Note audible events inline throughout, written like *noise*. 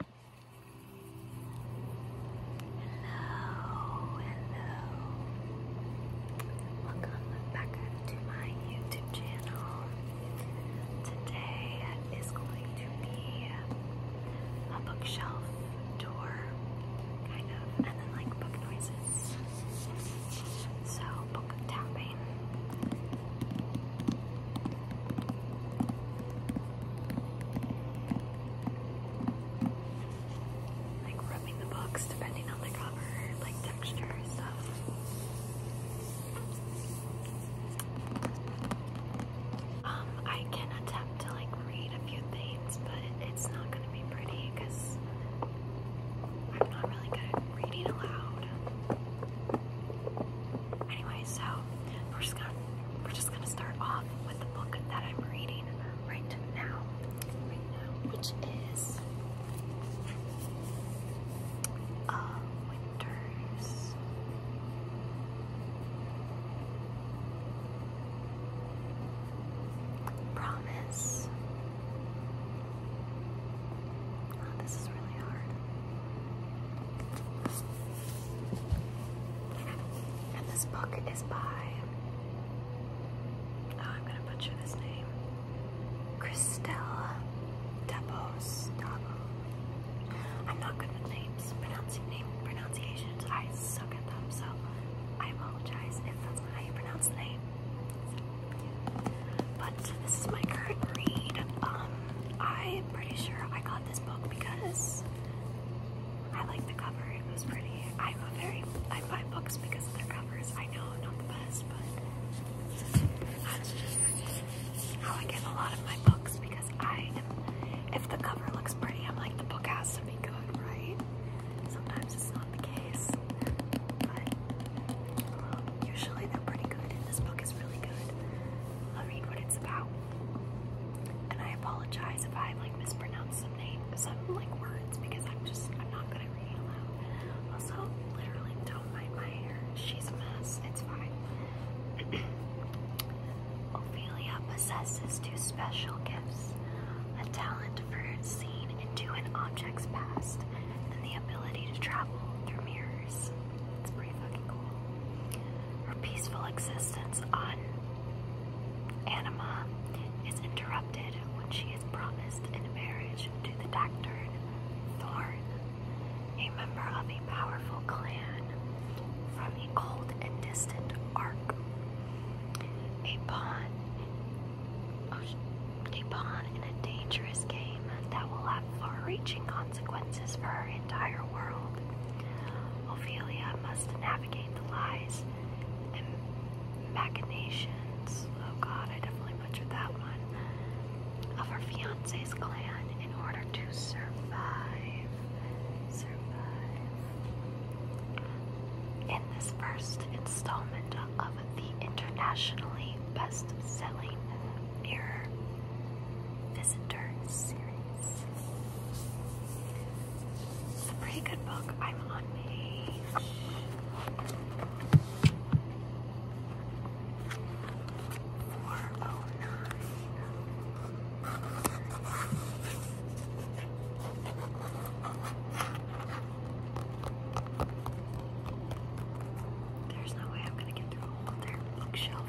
Hello, hello. Welcome back to my YouTube channel. Today is going to be a bookshelf tour, kind of, and then like book noises. So, book tapping. Like rubbing the books depending on the cover, like texture and stuff. Um, I can attempt to like read a few things, but it's not gonna be pretty because I'm not really good at reading aloud. Anyway, so we're just gonna we're just gonna start off with the book that I'm reading right now, which is uh, Winters. Promise. Oh, this is really hard. And this book is by, oh, I'm going to butcher this name, Christelle Dabos. Dabo. I'm not good with names, pronouncing name pronunciations. I suck at them, so I apologize if that's pronounce the name. But this is my current read. Um, I'm pretty sure I got this book because I like the cover. It was pretty. I'm a very I buy books because of their covers. I know not the best, but that's just how I get a lot of my books because I am. If the cover looks pretty, I'm like the book has to be good, right? Sometimes it's not the case, but um, usually they're pretty good. this book is really good. I'll read what it's about. And I apologize if I like mispronounce some name some like words because I'm just I'm not good at reading aloud. Also, literally do my hair. She's a mess. It's fine. *clears throat* Ophelia possesses two special gifts. A talent for seeing into an object's past and the ability to travel through mirrors. Her peaceful existence on Anima is interrupted when she is promised in marriage to the Doctor Thorn, a member of a powerful clan from a cold and distant arc. A pawn, oh, a pawn in a dangerous game that will have far-reaching consequences consequences for her entire world. Ophelia must navigate the lies and machinations. Oh god, I definitely butchered that one. Of her fiance's clan in order to survive. Survive. In this first installment of the internationally best selling Mirror Visitors series. It's a pretty good book. I'm on page. Four oh nine. There's no way I'm gonna get through a whole bookshelf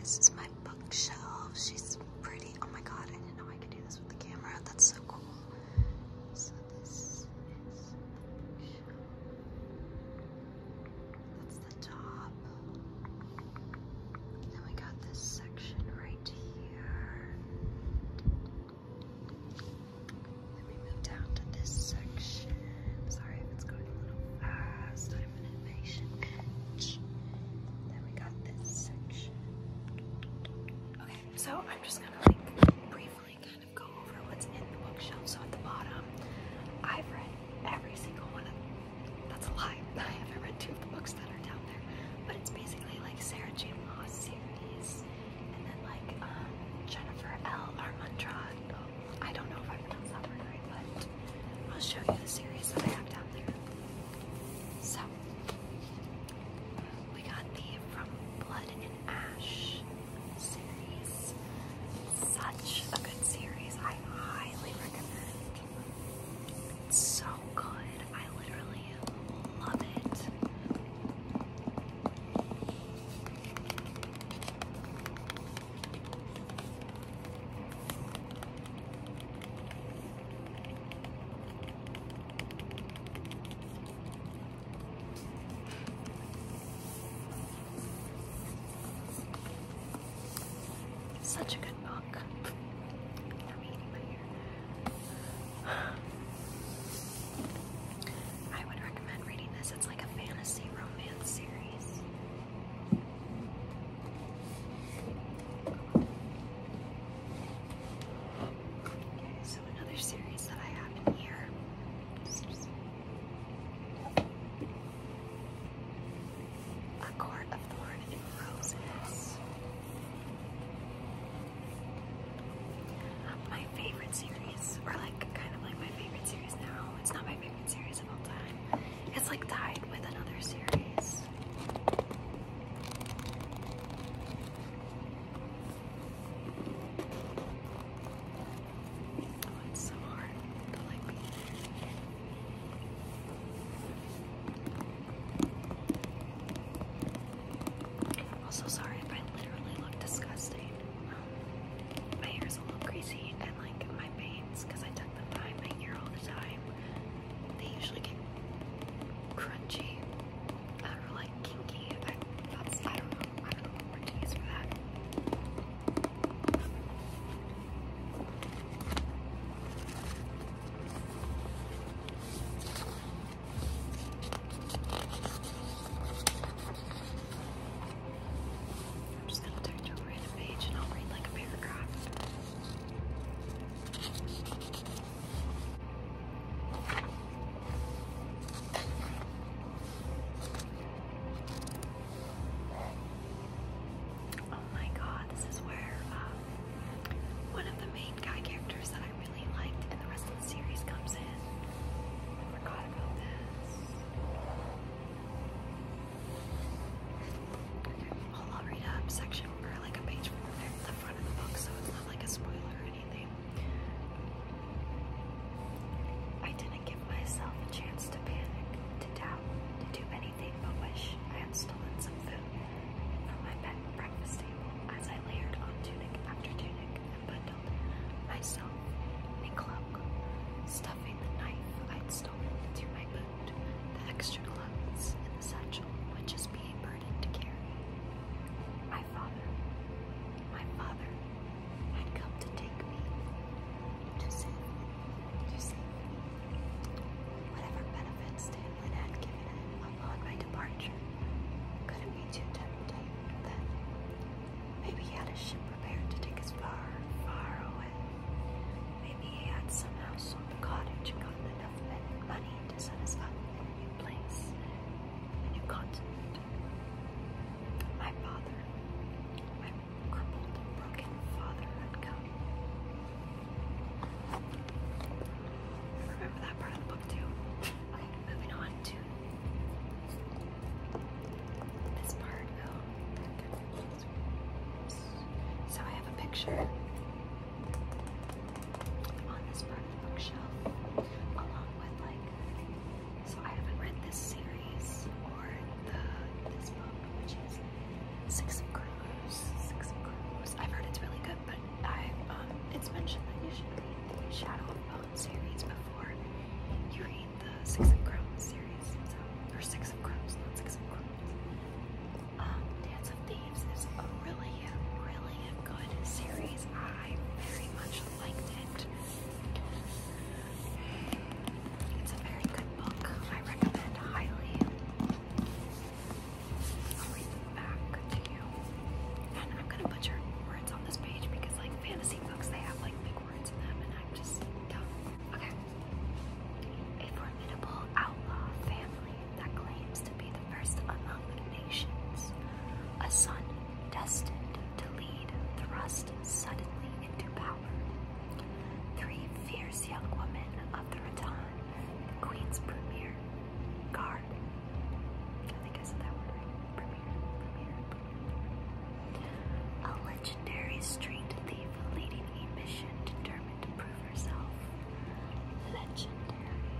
This is my bookshelf. She's pretty. Oh my god, I didn't know I could do this with the camera. That's so cool. So this is the top. Then we got this section right here. Then we move down to this section. I'm sorry if it's going a little fast. I'm an impatient bitch. Then we got this section. Okay, so I'm just gonna like briefly kind of go over what's in the bookshelf. So at the bottom, I've read every single one of them. That's a lie. *laughs* I haven't read two of the books that are down there. But it's basically like Sarah J. Moss series and then like um, Jennifer L. Armentrout. I don't know if I'm going to right, but I'll show you the series that I have down there. So, we got the From Blood and Ash series. Such a good series. I highly recommend. It's so good. I literally love it. Such a good book. i would recommend reading this. It's like a fantasy romance series. Okay, so another series that I have in here. Is a Court of Thorn and Roses. My favorite series, or like kind of like my favorite series now. It's not my favorite series. It's like tied with another series. Oh, it's so hard to like be there. Also, sorry if I literally look disgusting um, my hair's a little greasy and like my bangs, because I tuck them behind my ear all the time, they usually get crunchy or like kinky. I, don't know. I don't know for that. I'm just gonna turn to a random page and I'll read like a paragraph. Oh my god, this is where um, one of the main guy characters that I really liked in the rest of the series comes in. I forgot about this. I'll read a section or like a page from the front of the book, so it's not like a spoiler or anything. I didn't give myself a chance to panic, to doubt, to do anything but wish I had stolen some food from my bed breakfast table as I layered on tunic after tunic and handled myself a cloak, stuffing the knife I'd stolen into my boot, the extra clothes and the satchel would just be a burden to carry. My father, my father, had come to take me, to save me, to save Whatever benefits Tamlin had given upon my departure couldn't be too tempting then. Maybe he had a ship prepared to take us far, far away. Maybe he had somehow sold the cottage and gotten enough money to set us up in a new place, a new continent. My father, my crippled broken father, had come. Remember that part of the book, too? *laughs* moving on to this part, oh, so I have a picture on this bookshelf, along with like, so I haven't read this series or the this book, which is Six of Crows. Six of Crows. I've heard it's really good, but I um, it's mentioned that you should read Shadow of series before you read the Six of Crows series, or Six of Crows, not Six of Crows. Um, Dance of Thieves is a really, really good series. I very much liked it. It's a very good book. I recommend highly. I'll back to you. And I'm gonna butcher words on this page because, like, fantasy books, they have like a formidable outlaw family that claims to be the first among nations. A son destined to lead thrust suddenly into power. Three fierce young women of the Raton, Queen's premier guard. I think I said that word right. A legendary street thief leading a mission determined to prove herself. Legendary,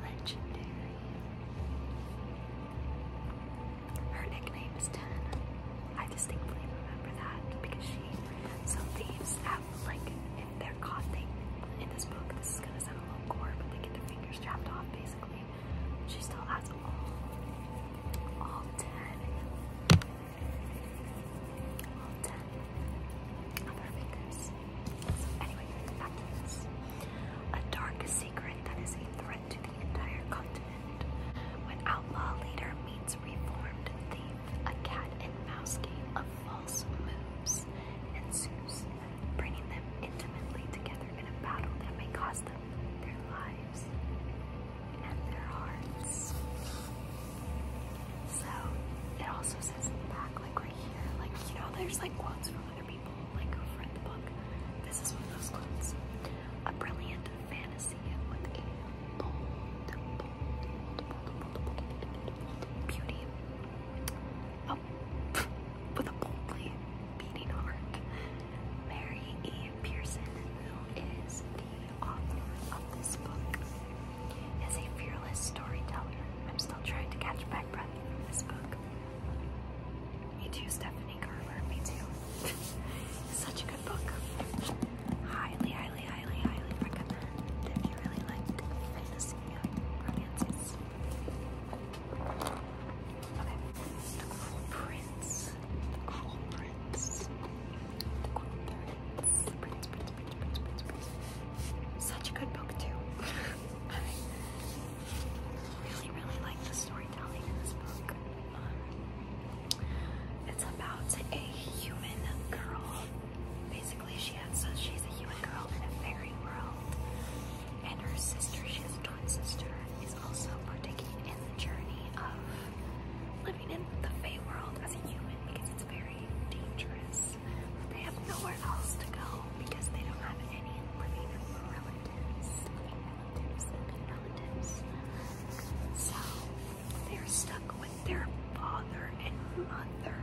legendary. Her nickname is Ten. I distinctly remember that because she. Some thieves have, like, if they're caught, they. In this book, this is gonna sound a little gore, but they get their fingers chopped off basically. She still has all, ten, A dark secret that is a threat to the entire continent. When outlaw leader meets reformed thief, a cat and mouse game of false moves ensues, bringing them intimately together in a battle that may cost them their lives and their hearts. So it also says in the back, like right here, like you know, there's like quotes from other people, like who read the book. This is one of those quotes. A brilliant fantasy with a bold, bold, bold, bold, bold beauty. Oh, *laughs* with a boldly beating heart. Mary E. Pearson, who is the author of this book, is a fearless storyteller. I'm still trying to catch my breath from this book. Me too, Stephanie Carver. Me too. *laughs* such a good book. Highly, highly, highly, highly recommend if you really like fantasy romances. the Prince. Cool prints. The cool prints. Prints, prints, prints, prints, prints, prints. Such a good book too. *laughs* I really, really like the storytelling in this book. Um, it's about a human girl. Basically, she has, so she's a human girl in a fairy world, and her sister, she has a twin sister, is also partaking in the journey of living in the Fey world as a human because it's very dangerous. They have nowhere else to go because they don't have any living relatives, So they're stuck with their father and mothers,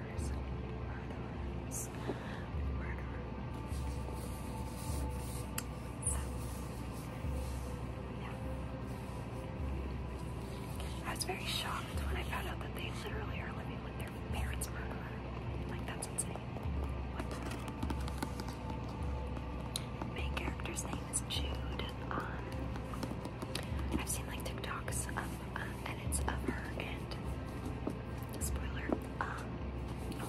I was very shocked when I found out that they literally are living with their parents' murderer. Like, that's insane. Main character's name is Jude. Um, I've seen like TikToks of um, edits of her and spoiler. Um, oh,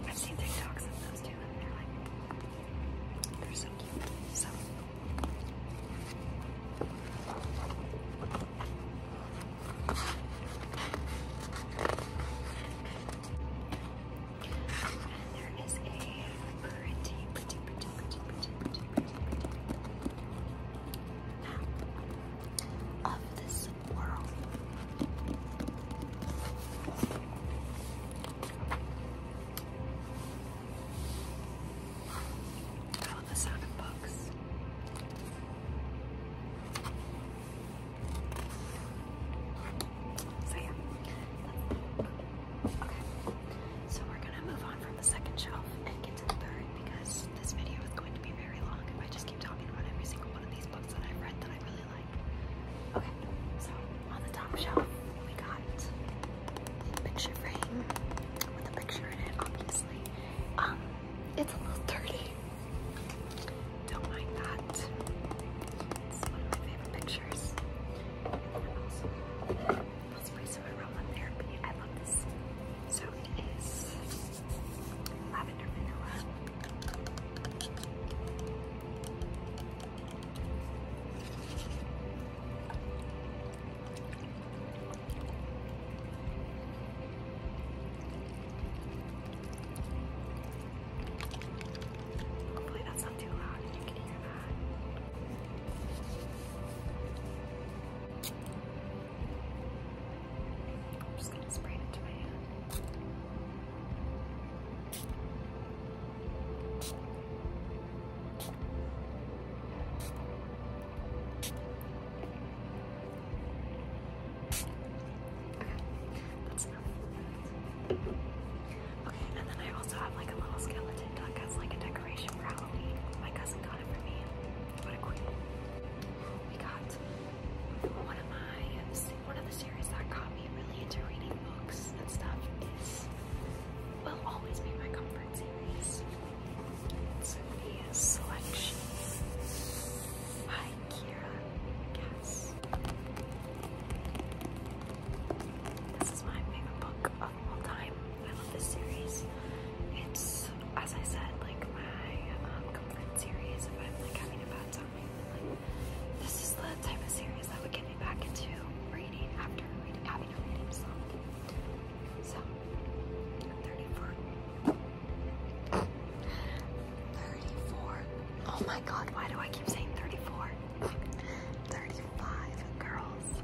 what's I've seen TikToks of those two, and they're like, they're so cute. So. And there is a pretty, pretty, pretty, pretty, pretty, pretty, pretty of this world. the sound books. So yeah, okay. So we're gonna move on from the second shelf and get to the third because this video is going to be very long if I just keep talking about every single one of these books that I've read that I really like. Okay, so on the top shelf we got a picture frame with a picture in it, obviously. Um, it's a little dirty. Don't mind that. It's one of my favorite pictures. And then also, some aroma therapy. I love this. So it is Lavender vanilla. Hopefully that's not too loud and you can hear that. I'm just gonna spray it to my hand. Okay, Okay, and then I also have like a little skeleton duck as like a decoration for Halloween. My cousin got it for me. What a queen. We got one of my one of the series that got me really into reading books and stuff is will always be my comfort series. It's selection by Kira Cass. This is my favorite book of all time. I love this series. It's, as I said, like my um, comfort series. If I'm like having a bad time, this is the type of series that would get me back into reading after having a reading So, I'm 34. Oh my god, why do I keep saying 34? 35 girls,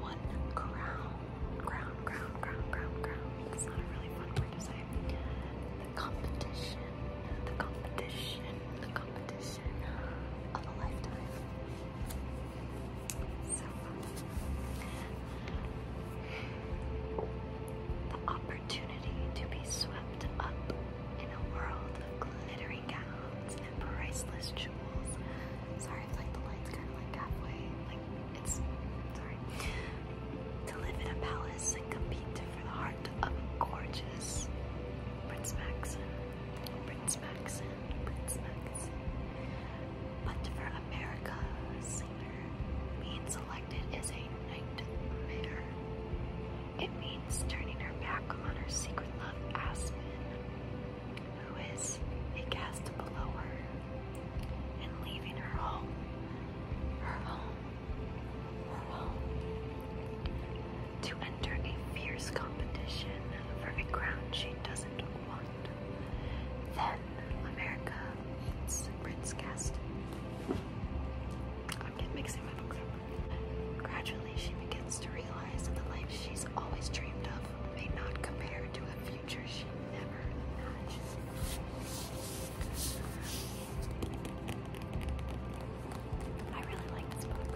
one crown ground, ground, ground, ground, ground. That's not a really fun word to say. The competition, the competition, the competition of a lifetime. So the opportunity to be swept up in a world of glittering gowns and priceless jewels. Sorry if like the light's kind of like halfway, it's To live in a palace and compete for the heart of gorgeous Prince Maxon. Prince Maxon. Prince Maxon. But for America, singer being selected is a nightmare. It means turning her back on her secret love, Aspen who is a guest below her, and leaving her home, her home, her home, to enter a fierce competition for a crown she doesn't want. Then America meets Prince Caston. I'm just mixing my books up. Gradually, she begins to realize that the life she's always dreamed of may not compare to a future she never. I really like this book.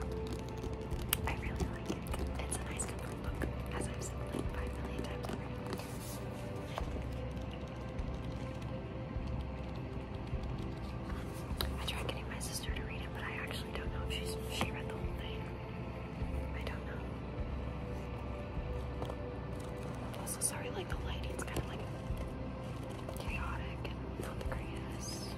I really like it. It's a nice book, as I've seen like five million times already. I tried getting my sister to read it, but I actually don't know if she's, she read the whole thing. I don't know. I'm also sorry, like the lighting lighting's kind of like chaotic and not the greatest.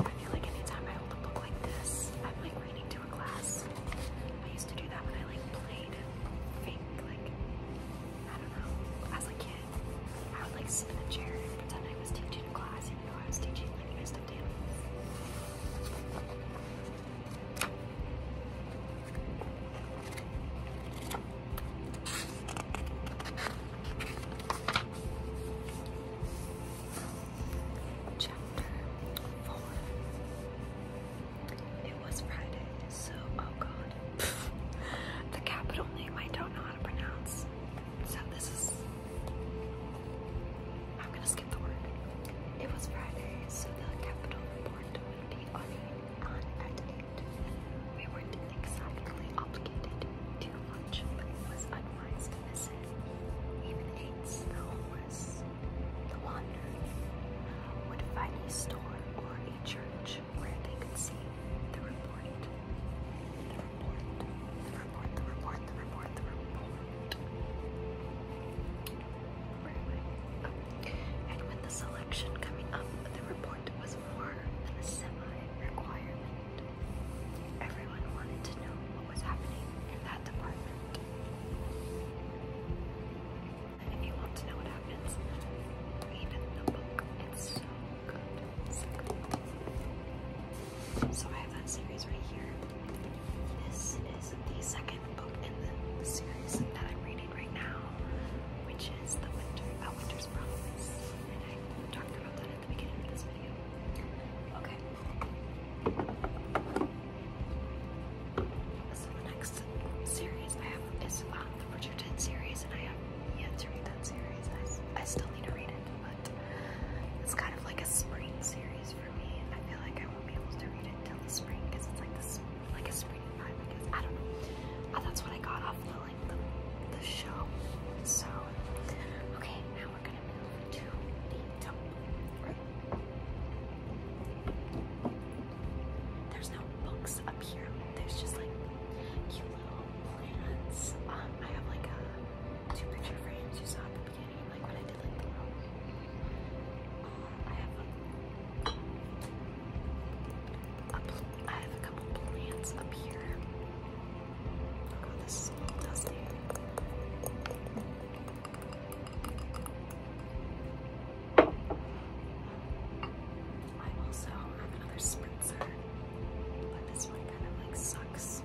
I feel like anytime I hold a book like this, I'm like reading to a class. I used to do that when I like played fake, like, I don't know, as a kid. I would like sit in a chair and pretend I was teaching a class, even though I was teaching like I stuffed animals. Chapter 4. It was Friday, so oh god. *laughs* the capital name I don't know how to pronounce. So this is. I'm gonna skip the word. It was Friday, so the capital report would be on, on at we weren't exactly obligated to lunch, but it was unwise to miss it. Even eights, the homeless, the wanderer, would find a store or a church where they could see the report. The report, the report, the report, the report, the report. Oh. And with the selection coming up, the report Sport was more than a semi-requirement. Everyone wanted to know what was happening in that department. And if you want to know what happens, read the book. It's so good. So, I have that series right here. This is the second book in the series that I'm reading right now, which is The Winter, A Winter's Promise. I Okay. So the next series I have is um, the Bridgerton series, and I have yet to read that series. I, still need to read it, but it's kind of like a spring series for me. I feel like I won't be able to read it till the spring because it's like this, like a spring vibe. I guess I don't know. Uh, that's what I got off the the, show. So, okay, now we're gonna move to the top. There's no books up here. There's just like cute little plants. Um, I have like a two picture frames you saw at the beginning, like when I did like the room. Um, I have a couple plants up here. Oh god, this is all dusty. also another spritzer, but this one kind of like sucks.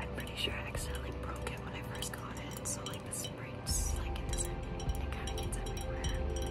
I'm pretty sure I accidentally broke it when I first got it, so like the spring, like it kind of gets everywhere.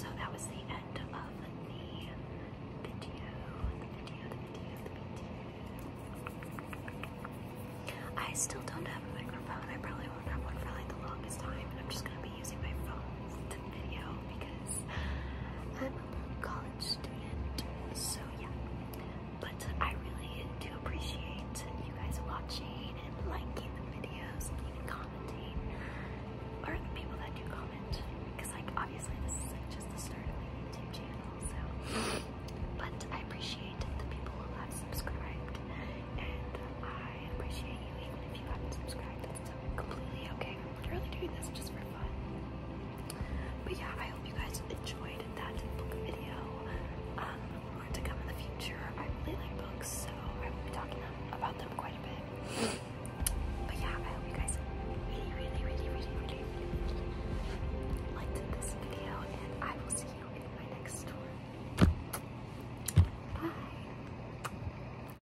so, that was the end of the video. The video, the video, the video. I still don't have a microphone. I probably won't have one for like the longest time, and I'm just gonna be using my phone video because I'm a college student, so yeah. But I really do appreciate you guys watching and liking the videos and even commenting, or people that do comment, because like obviously this is just the start of my YouTube channel, so. But I appreciate the people who have subscribed, and I appreciate you even if you haven't subscribed. That's completely okay literally doing this just for fun. But yeah, I hope you guys enjoyed that book video. Um, to come in the future. I really like books, so I will be talking about them quite a bit. But yeah, I hope you guys really, really, really, really, really, really liked this video, and I will see you in my next tour. Bye.